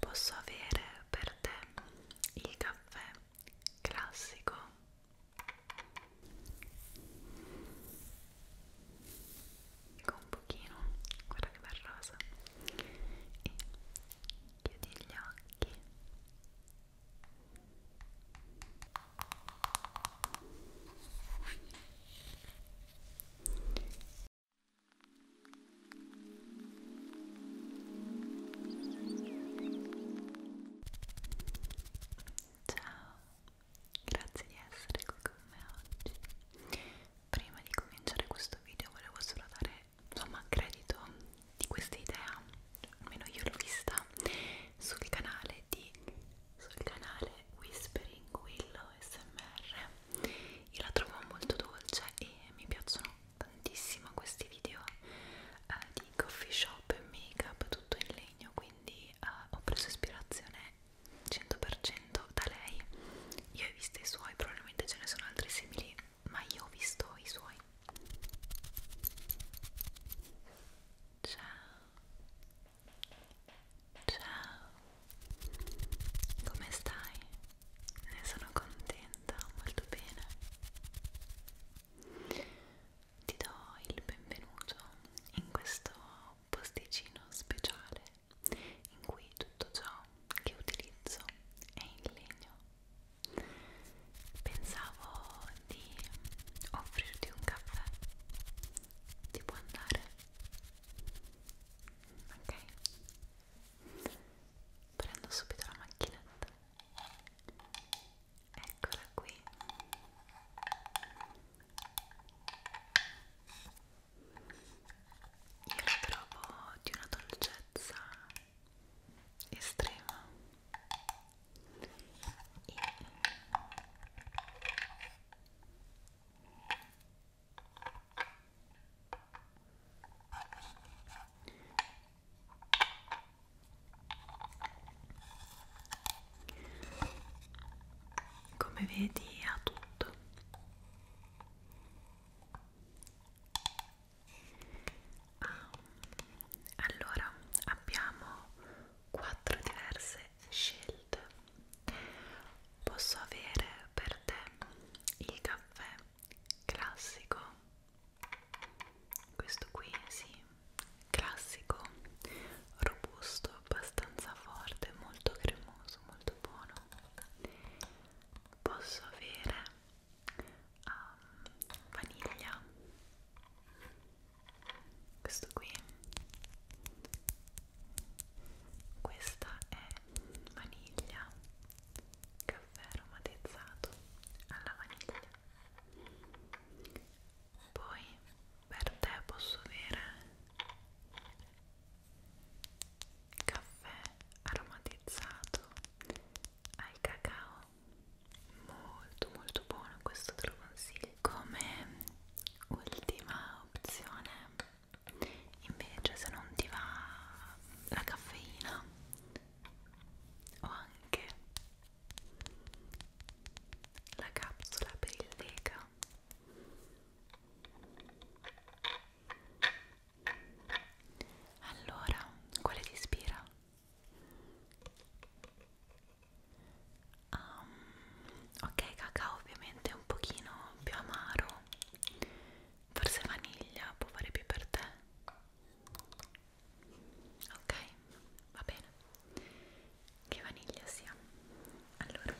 Posso avere per te il caffè classico? Un pochino, guarda che bel rosa. E chiudi gli occhi. Ciao, grazie di essere qui con me oggi. Prima di cominciare questo video volevo solo dare insomma credito di questa idea, almeno io l'ho vista sul canale di sul canale Whispering Willow SMR io la trovo molto dolce e mi piacciono tantissimo questi video eh, di coffee shop e make up tutto in legno quindi eh, ho preso ispirazione 100% da lei io ho visto i suoi probabilmente ce ne sono altri simili ma io ho visto i suoi ciao Ciao, come stai? Ne sono contenta, molto bene. Ti do il benvenuto in questo posticino speciale in cui tutto ciò che utilizzo è in legno. Pensavo di offrirti un caffè. Ti può andare? ok prendo subito la macchinetta eccola qui io la trovo di una dolcezza estrema e come vedi ha tutto. Ah, allora abbiamo quattro diverse scelte posso avere per te il caffè classico questo qui sì classico robusto abbastanza forte molto cremoso molto buono posso avere um, vaniglia questo qui questa è vaniglia caffè aromatizzato alla vaniglia poi per te posso avere caffè aromatizzato al cacao molto molto buono questo te lo consiglio come ultima opzione invece se non ti va la caffeina o anche la capsula per il lega allora quale ti ispira? um, ok cacao ovviamente un pochino più amaro forse vaniglia può fare più per te ok va bene che vaniglia sia allora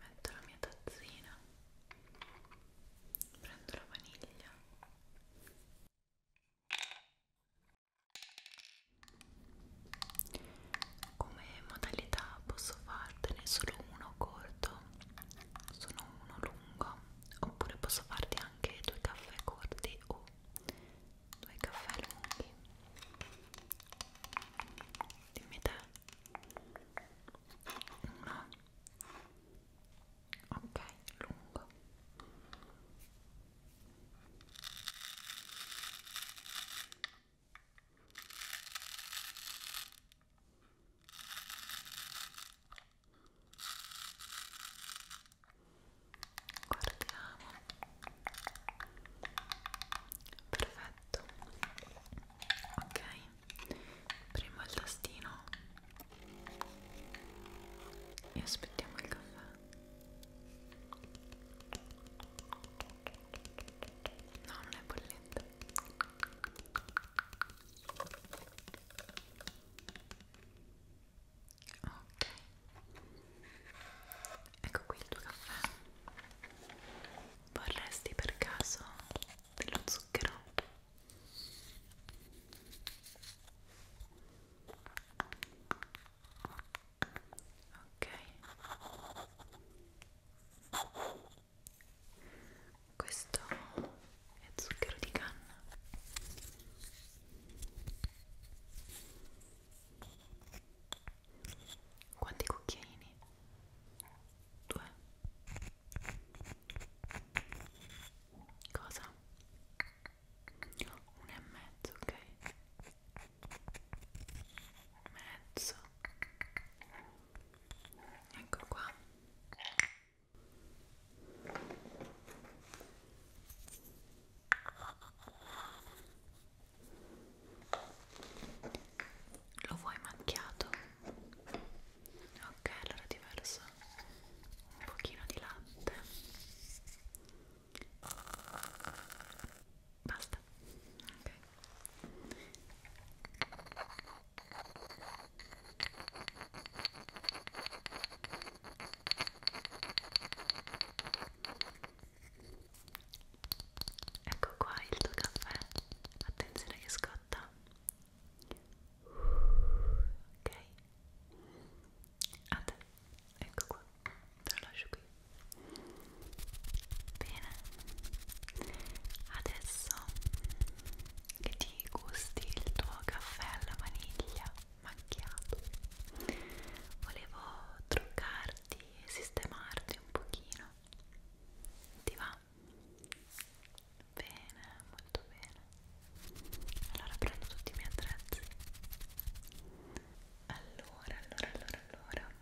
metto la mia tazzina prendo la vaniglia come modalità posso fartene solo uno corto, solo uno lungo, oppure posso farti anche due caffè corti o due caffè lunghi. Dimmi te. Uno. Ok, lungo. Guardiamo. Perfetto. Ok. Prima il tastino e aspettiamo il caffè. No, non è bollente. Ok. Ecco qui il tuo caffè. Vorresti per caso dello zucchero? ok questo è zucchero di canna quanti cucchiaini? due cosa? 1 e mezzo, ok? Mezzo. Ecco qua. Lo vuoi macchiato? Ok, allora diverso. Un pochino di latte. Basta. Ok. Ecco qua il tuo caffè. Attenzione che scotta. Ok a te ecco qua te lo lascio qui bene adesso che ti gusti il tuo caffè alla vaniglia macchiato volevo truccarti e sistemarti un pochino ti va? bene molto bene allora prendo tutti i miei attrezzi allora, allora, allora, allora.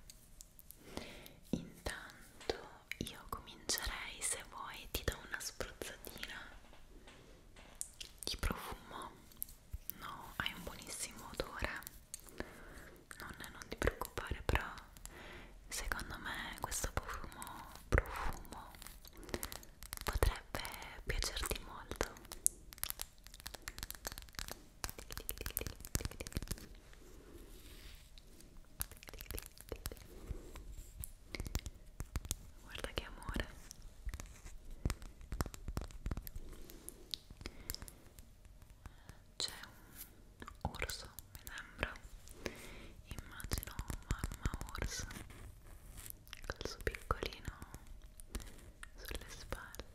Intanto io comincerei, se vuoi, ti do una spruzzatina di profumo. No, hai un buonissimo odore. Non, non ti preoccupare, però secondo me questo profumo, profumo potrebbe piacerti molto. Guarda che amore. C'è un orso, mi sembra. Immagino mamma orso col suo piccolino sulle spalle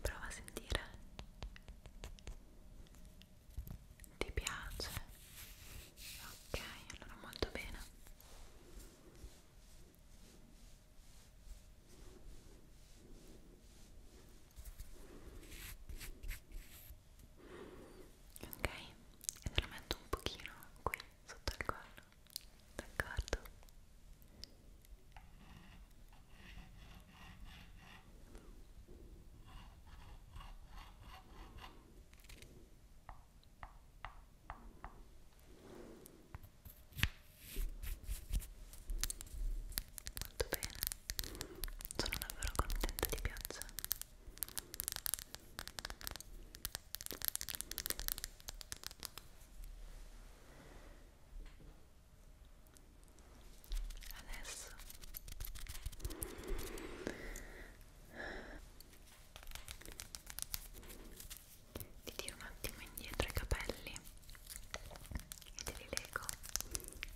prova a sentire ti piace ok allora molto bene Ok, e te lo metto un pochino qui sotto il collo, d'accordo? Ok, Molto bene, sono davvero contenta di piaccia. Adesso ti tiro un attimo indietro i capelli e te li leggo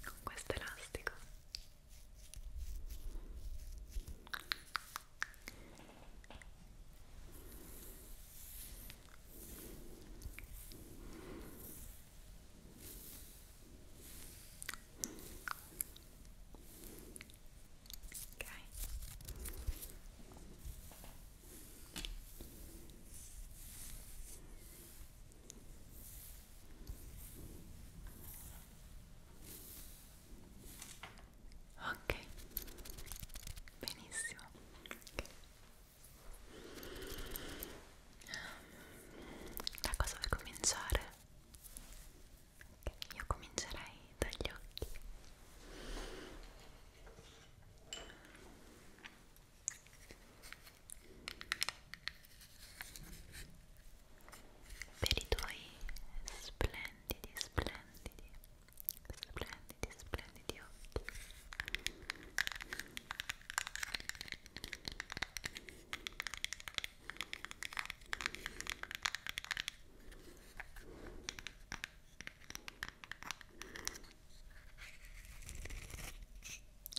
con questo elastico ok Ok, benissimo. Da cosa vuoi cominciare? Okay, io comincerei dagli occhi per i tuoi splendidi, splendidi, splendidi, splendidi occhi. Grazie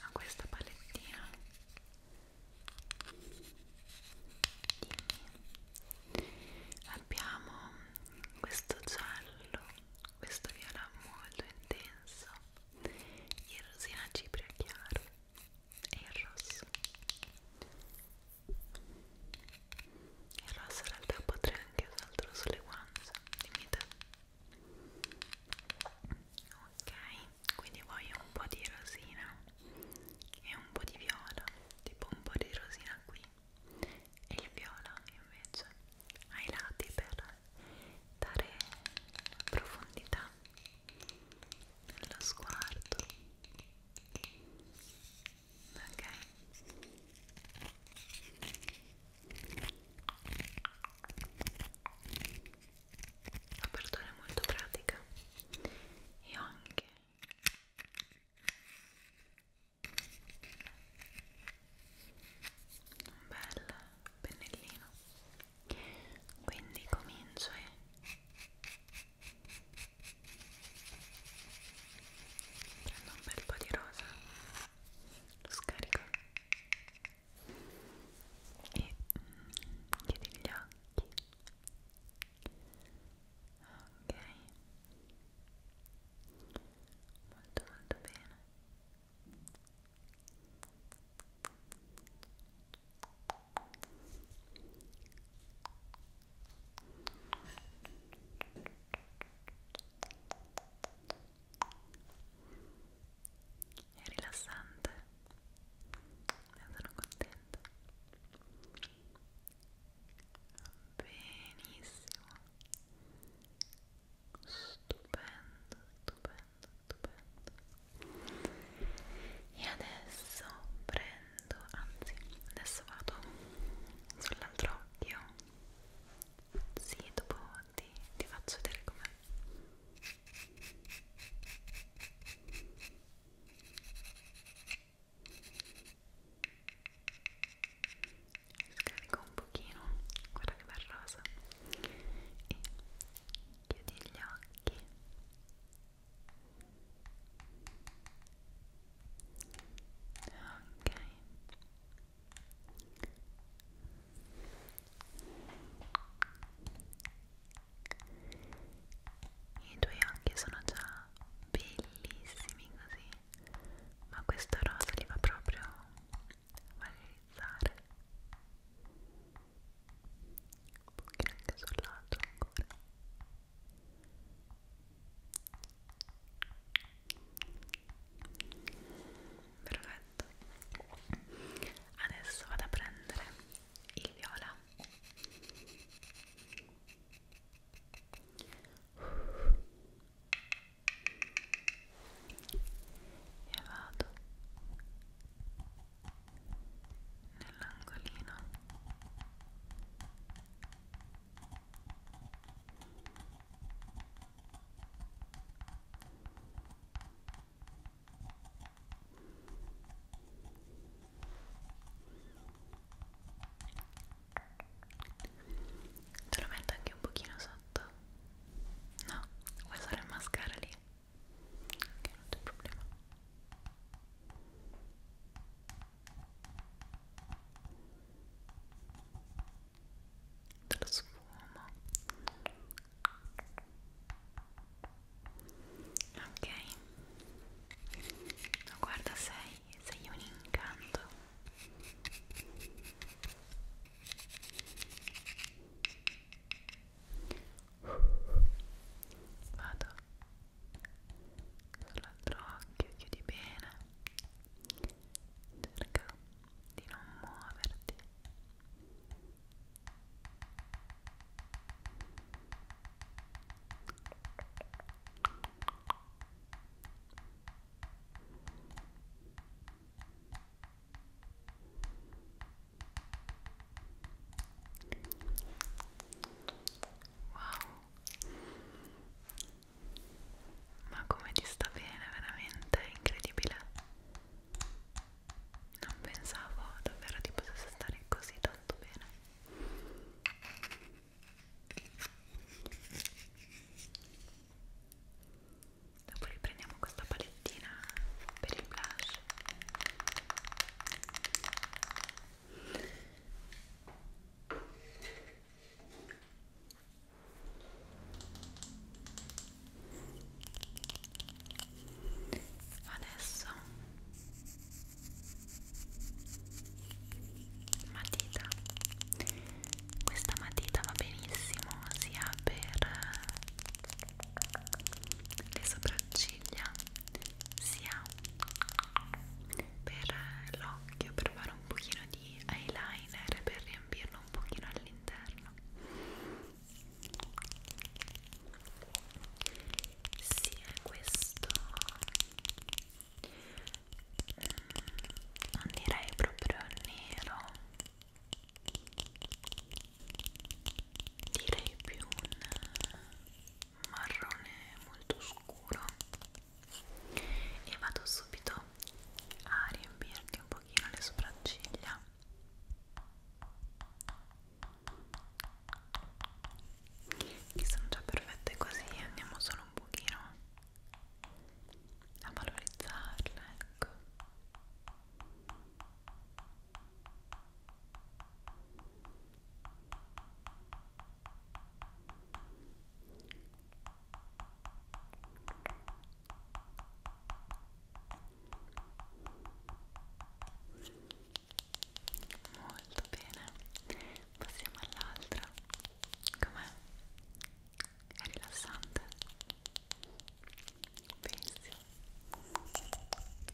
a questa palettina dimmi abbiamo questo giallo questo viola molto intenso il rosina cipria chiaro e il rosso il rosso in realtà potrei anche usarlo sulle guance dimmi ok quindi voglio un po' di rosina e un po' di viola tipo un po' di rosina qui e il viola invece ai lati per dare profondità nello sguardo ok l'apertura è molto pratica e ho anche un bel pennellino quindi comincio e prendo un bel po' di rosa lo scarico e mm, chiudi gli occhi ok molto molto bene ok è rilassante ne sono contenta benissimo stupendo stupendo stupendo e adesso prendo anzi adesso vado sull'altro occhio sì, dopo ti, ti faccio vedere com'è. Scarico un pochino, guarda che bel rosa. E chiudi gli occhi. Ok. I tuoi occhi sono già bellissimi così, ma questo rosa li va proprio a valorizzare. Un pochino anche sul lato ancora perfetto adesso vado a prendere il viola e vado nell'angolino Te lo metto anche un pochino sotto. No, vuoi usare il mascara lì? Che non c'è problema. Ecco dello sfumo ok no, guarda sei sei un incanto vado sull'altro occhio chiudi bene cerca di non muoverti Wow, ma come ti sta bene veramente è incredibile non pensavo davvero ti potesse stare così tanto bene dopo riprendiamo questa palettina per il blush adesso matita questa matita va benissimo sia per le sopracciglia sia per l'occhio per fare un pochino di eyeliner per riempirlo portarlo un pochino all'interno sì, è questo mm, non direi proprio nero direi più un marrone molto scuro e vado subito a riempirti un pochino le sopracciglia che sono già perfette così andiamo solo un pochino a valorizzarle ecco Molto bene, passiamo all'altra. Com'è? È rilassante. Pensi. Molto bene,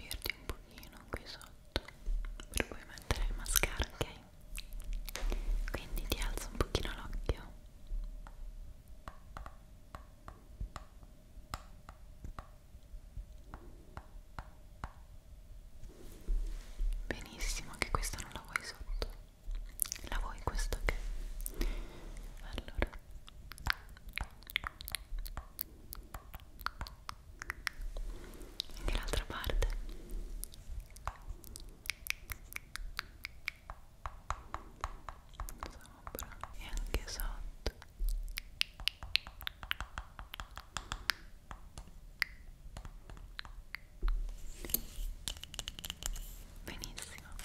rimbirti un pochino qui sotto per poi mettere il mascara, ok? Quindi ti alzo un pochino l'occhio benissimo, anche questa non la vuoi sotto la vuoi questa, ok? allora e l'altra parte sopra e anche sotto benissimo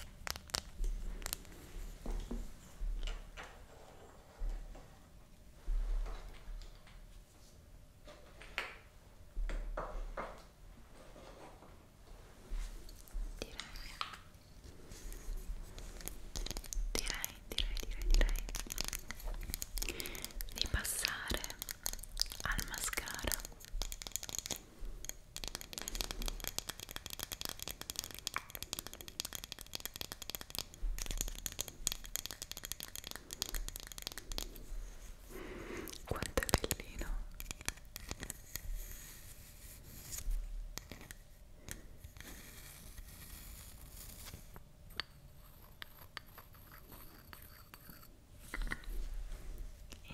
direi direi direi direi di passare al mascara quanto è bellino. È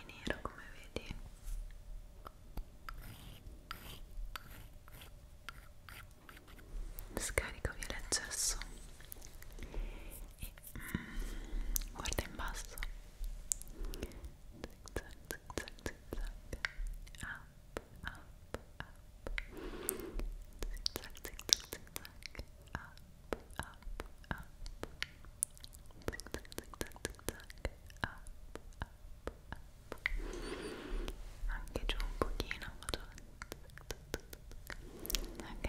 nero come vedi scarico via l'accesso e mm, guarda in basso zig zag zig zag zig zag up up up zig zag zig zag zig zag up up up zig zag zig zag zig zag up up up, up. anche giù un pochino vado. ok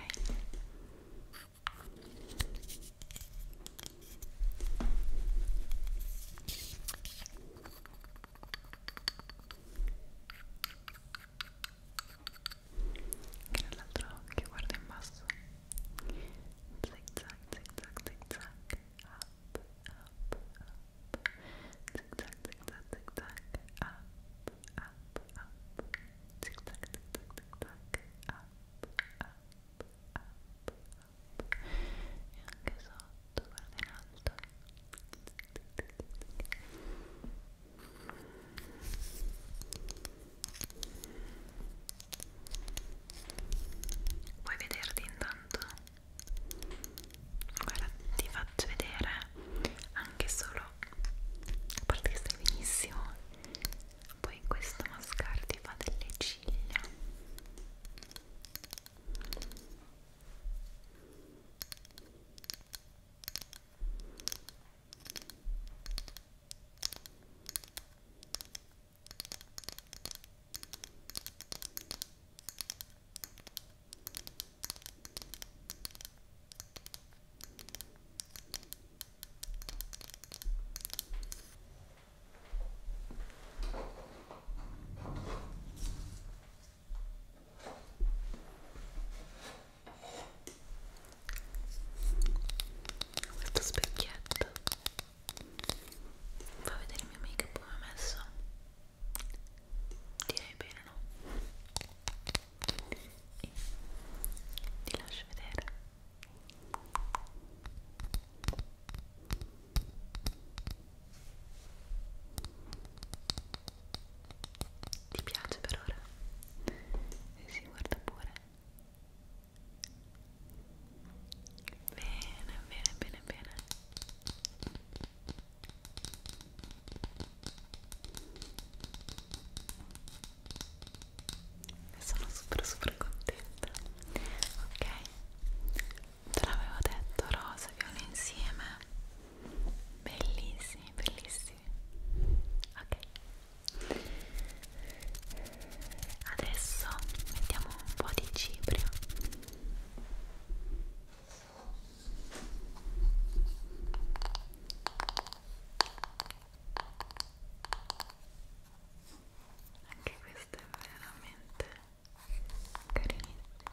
anche nell'altro occhio guarda in basso zig zag zig zag zig zag up ah. up, up. Zigzag, zigzag, zigzag. Up, up, up. Zigzag, zigzag, zigzag. Up, up, up, up. E anche alto. Vuoi vederti intanto? Guarda, ti faccio vedere anche solo a parte che stai benissimo. Poi questo mascara ti fa delle ciglia. Guarda questo specchietto fa vedere il mio make up come ho messo direi bene no? e ti lascio vedere ti piace per ora? si eh sì, guarda pure bene bene bene bene sono super super contenta ok te l'avevo detto rosa e viola insieme bellissimi bellissimi ok adesso mettiamo un po' di cipria anche questa è veramente carinissima. Ecco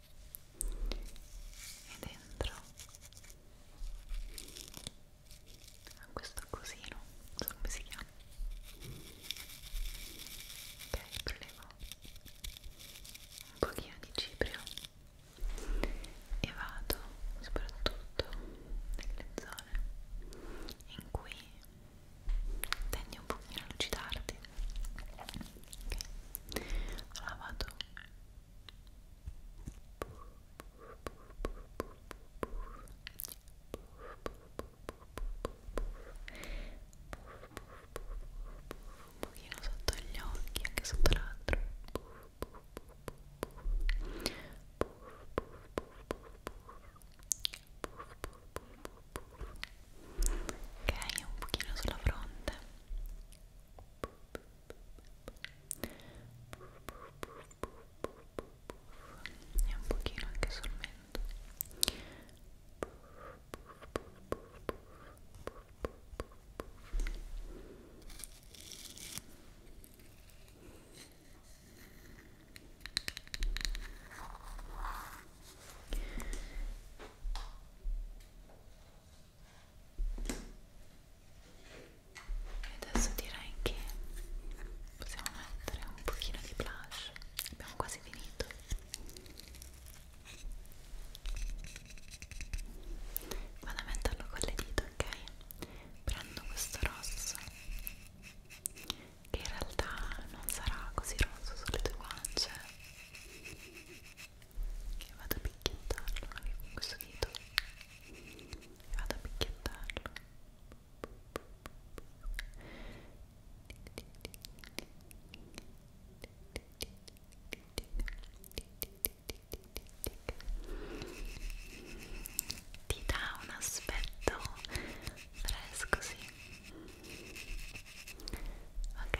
e dentro a questo cosino, non so come si chiama ok, prelevo un pochino di cipria e vado soprattutto nelle zone in cui tendi un pochino a lucidarti ok, allora vado un pochino sotto gli occhi, anche sotto l'altro ok, un pochino sulla fronte ok e un pochino anche sul mento e adesso direi che possiamo mettere un pochino di blush abbiamo quasi finito vado a metterlo con le dita ok prendo questo rosso che in realtà non sarà così rosso sulle tue guance che vado a picchiettarlo anche con questo dito e vado a picchiettarlo ti dà un aspetto fresco, sì ok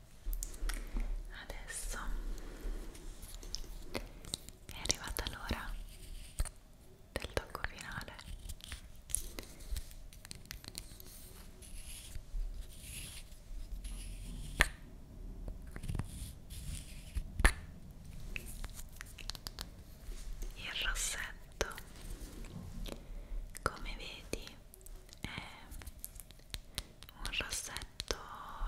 adesso è arrivata l'ora del tocco finale il rossetto come vedi è un rossetto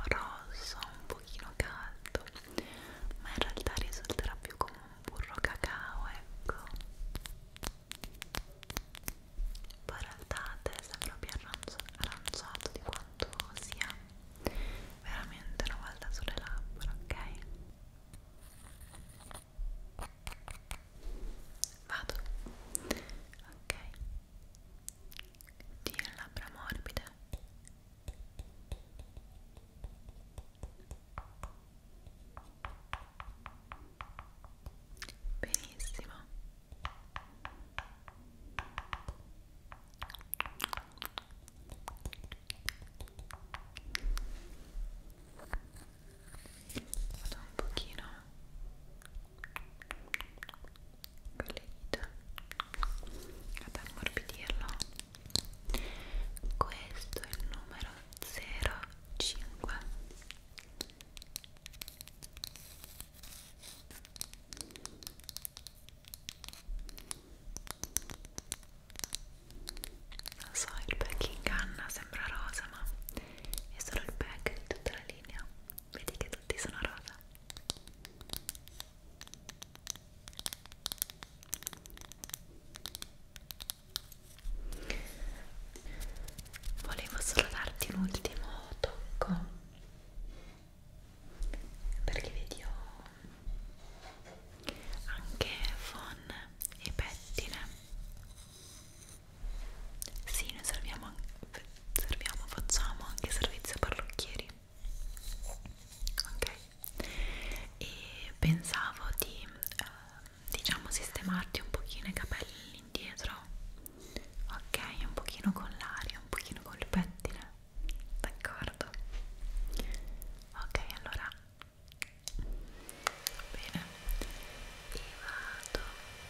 rosso un pochino caldo ma in realtà risulterà più come un burro cacao ecco poi in realtà sembra più aranciato di quanto sia veramente una volta sulle labbra ok Vado. Ok. Tieni labbra morbide. Benissimo. Vado un pochino con le dita ad ammorbidirlo questo è il numero 05 non so il back in canna sembra rosa ma è solo il back di tutta la linea Vedi che tutti sono rosa. Volevo solo darti un ultimo tocco perché vedi ho anche fon e pettine sì, noi serviamo, serviamo, facciamo anche servizio parrucchieri. Ok? E pensavo di, eh, diciamo, sistemarti un pochino i capelli indietro. Ok? Un pochino con l'aria, un pochino col pettine. D'accordo? Ok, allora bene e vado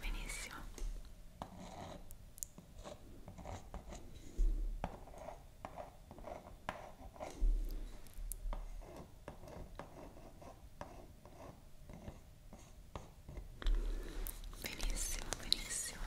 benissimo benissimo benissimo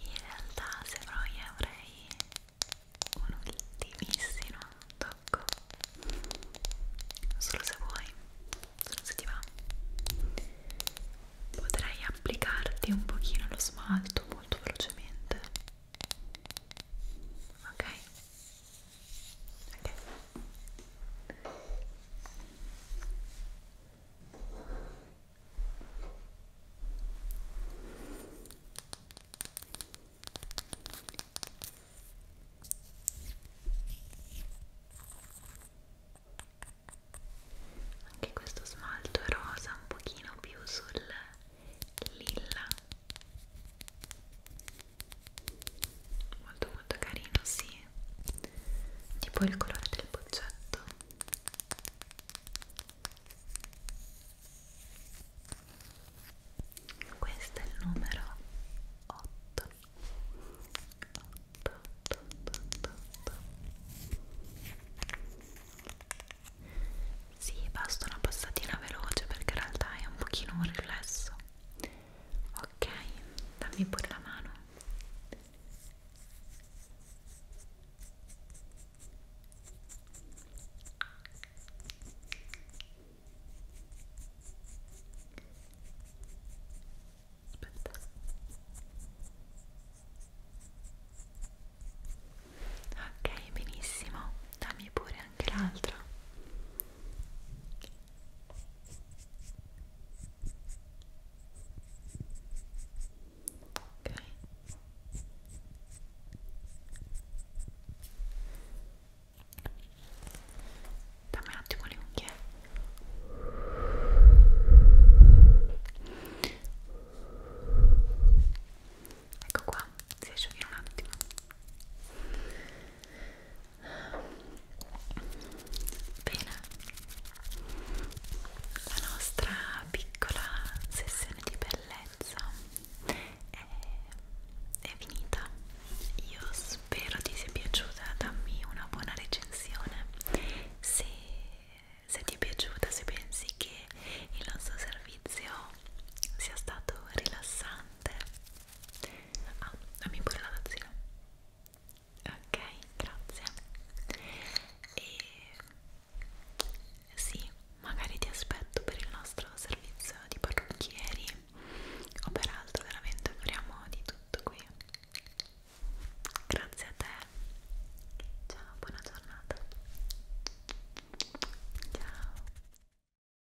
in realtà se poi avrei un ultimissimo tocco solo se vuoi, solo se ti va potrei applicarti un pochino lo smalto molto velocemente ok ok anche questo smalto è rosa un pochino più sul lilla molto molto carino sì tipo il colore del boccetto questo è il numero 8 8 8 8 8, 8. Sì, basta una passatina veloce perché in realtà è un pochino un riflesso ok dammi pure la mano aspetta ok benissimo dammi pure anche l'altra ok dammi un attimo le unghie ecco qua si asciugano un attimo Bene, la nostra piccola sessione di bellezza è, è finita. Io spero ti sia piaciuta, dammi una buona recensione. Se, se ti è piaciuta, se pensi che il nostro servizio sia stato rilassante Ah, dammi pure la tazzina. Ok, grazie. E sì, magari ti aspetto per il nostro servizio di parrucchieri o per altro, veramente offriamo di tutto qui. Grazie a te. Ciao, buona giornata. Ciao.